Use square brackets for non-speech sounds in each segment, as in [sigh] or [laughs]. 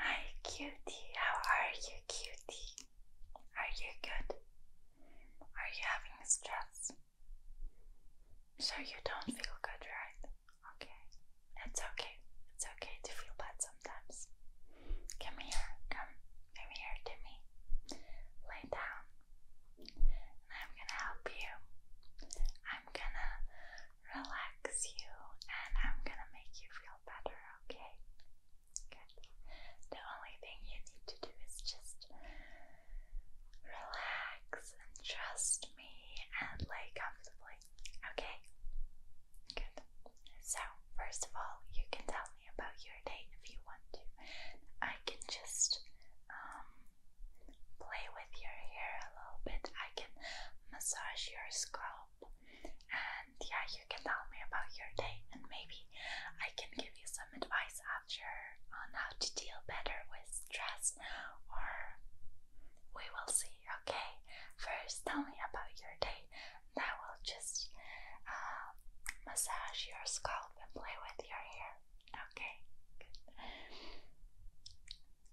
Hi, cutie. How are you, cutie? Are you good? Are you having stress? So you don't feel good, right? Okay. It's okay. It's okay to feel bad sometimes. Come here. Come. Come here to me. Lay down. And I'm gonna help you. I'm gonna relax you, and I'm gonna make you feel better, okay? Good. The only thing you need to do is just relax and trust me and lay comfortably, okay? Good. So, first of all, you can tell me about your day if you want to. I can just um, play with your hair a little bit. I can massage your scalp. And yeah, you can tell me about your day, and maybe I can give you some advice after on how to deal better with stress. Or we will see, okay? First, tell me about your day, and I will just uh, massage your scalp and play with your hair, okay?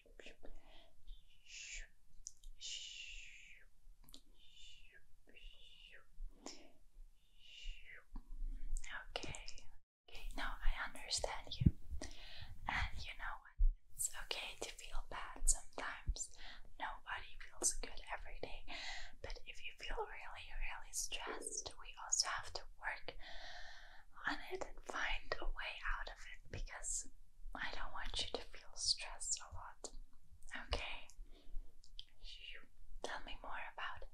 Okay. Okay, now I understand you. And you know what? It's okay to feel bad sometimes. Nobody feels good every day. But if you feel really, really stressed, we also have to work and I did find a way out of it because I don't want you to feel stressed a lot. Okay? Tell me more about it.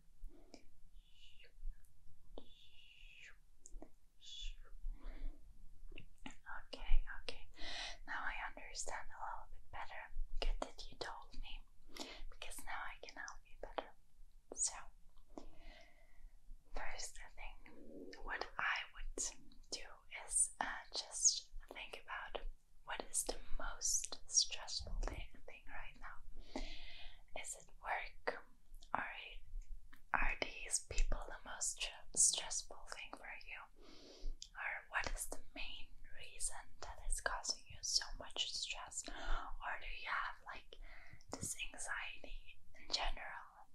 Okay, okay. Now I understand a little bit better. Good that you told me because now I can help you better. So, first thing, what I would do is uh, just think about what is the most stressful thing, right now? Is it work? Are, are these people the most stressful thing for you? Or what is the main reason that is causing you so much stress? Or do you have like this anxiety in general?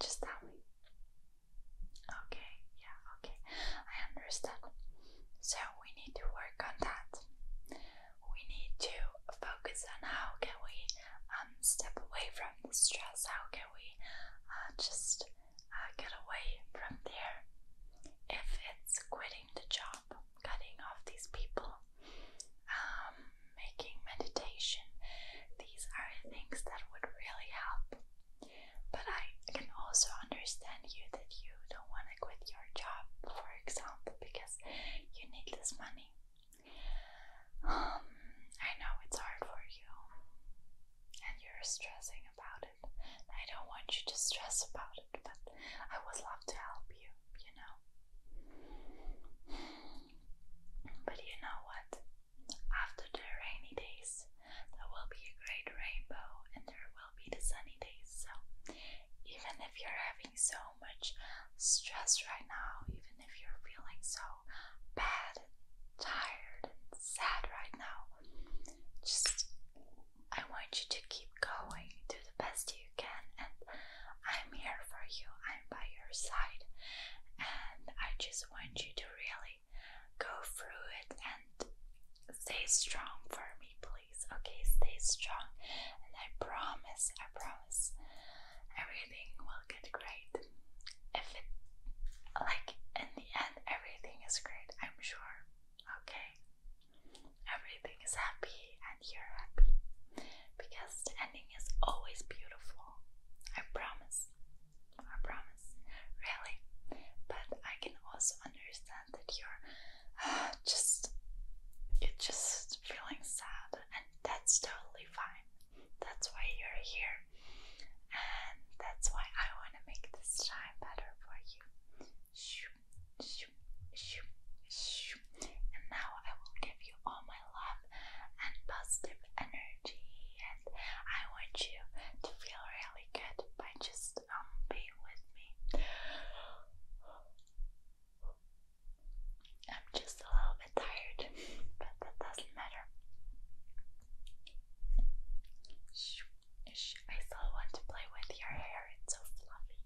Just tell me. Okay, yeah, okay. I understand. So we need to work on that. We need to focus on how can we um, step away from the stress, how can we uh, just uh, get away from there. If it's quitting the job, cutting off these people, um, making meditation, these are things that would really help. But I can also understand you that you don't want to quit your job, for example, because you need this money. Um, I know it's hard for you and you're stressing about it. I don't want you to stress about it, but I would love to help you, you know. But you know what? After the rainy days, there will be a great rainbow and there will be the sunny days. So, even if you're having so much stress right now, even if you're feeling so bad and tired and sad right now, just I want you to keep going, do the best you can, and I'm here for you, I'm by your side, and I just want you to really go through it and stay strong for me, please. Okay, stay strong. And I promise, I promise everything will get great. If it like in the end everything is great, I'm sure. Okay. Everything is happy and you're happy. Because the ending is always beautiful. I promise. I promise, really. But I can also understand that you're uh, just you're just feeling sad, and that's totally fine. That's why you're here, and that's why I want to make this time better for you. Shoo, shoo, shoo, shoo. And now I will give you all my love and positive energy, and I want you to feel really good by just um being with me. I'm just a little bit tired, but that doesn't matter. I still want to play with your hair, it's so fluffy.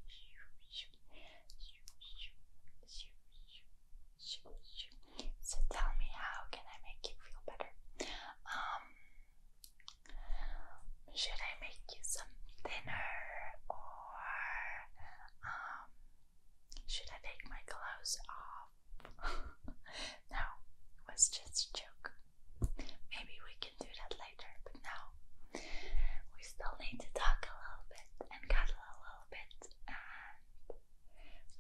So tell me, how can I make you feel better? Um, should I make you some dinner, or um, should I take my clothes off? [laughs] no, it was just a joke. Maybe we can do that later, but no, we still need to talk a little bit and cuddle a little bit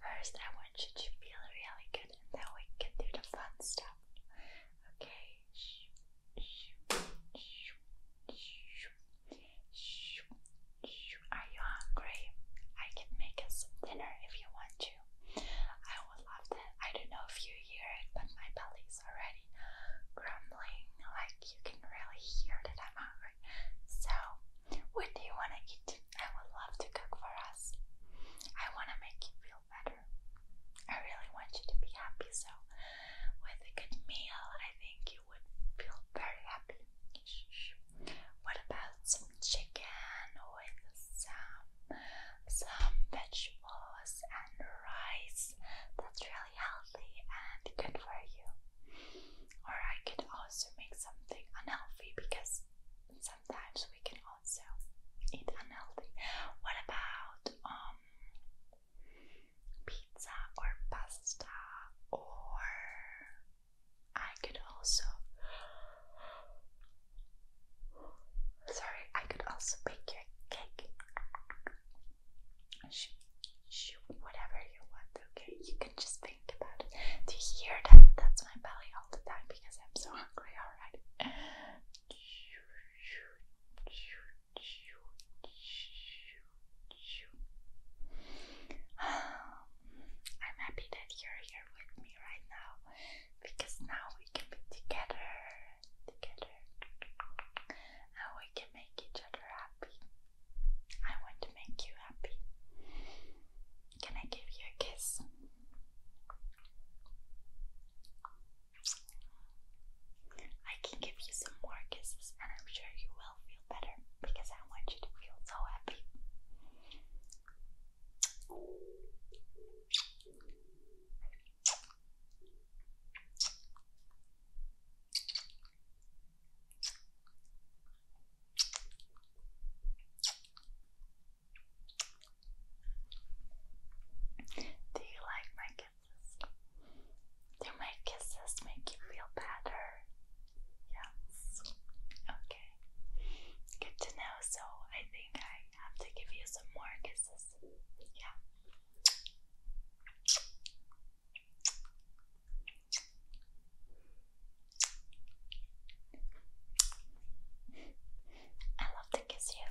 First, one should you feel really good, and then we can do the fun stuff. Okay. Are you hungry? I can make us dinner if you want to. I would love that. I don't know if you hear it, but my belly's already grumbling like you can really hear that I'm hungry. So, what do you want to eat? I would love to cook for us. I want to make you feel better. I really want you to be happy. So, with a good meal, I think you would feel very happy. What about some chicken with some some vegetables and rice? That's really healthy and good for you. Or I could also make something unhealthy because sometimes we can also eat unhealthy. What about um, pizza or pasta or I could also Sorry, I could also bake your cake. Shoot, shoot, whatever you want, okay? You can just think about it. Do you hear that? That's my belly all the time because I'm so hungry, alright? [sighs] I'm happy that you're here with me right now because now we can be together together and we can make each other happy. I want to make you happy. Can I give you a kiss? I can give you some more kisses and I'm sure you will feel better because I want you to feel so happy. Do you like my kisses? Do my kisses make you feel better? Yes. Okay. Good to know. So I think I have to give you some more kisses. Yeah. I love to kiss you.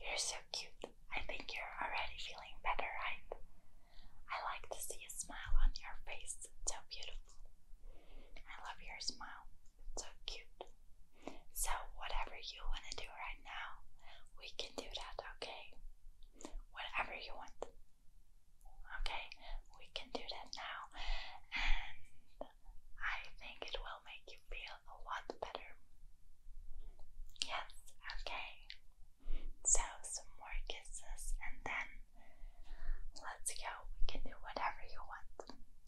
You're so cute. I think you're already feeling better, right? I like to see a smile on your face. so beautiful. I love your smile. So cute. So, whatever you want to do right now, we can do that, okay? Whatever you want. Okay? We can do that now. And I think it will make you feel a lot better. Yes, okay. So, some more kisses and then let's go. We can do whatever you want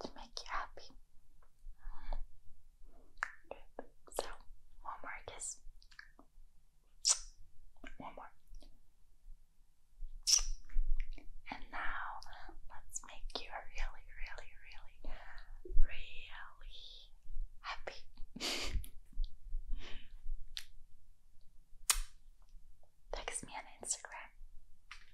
to make you happy. Good. So, one more kiss. One more. And now let's make you really, really, really, really happy. [laughs] Text me on Instagram.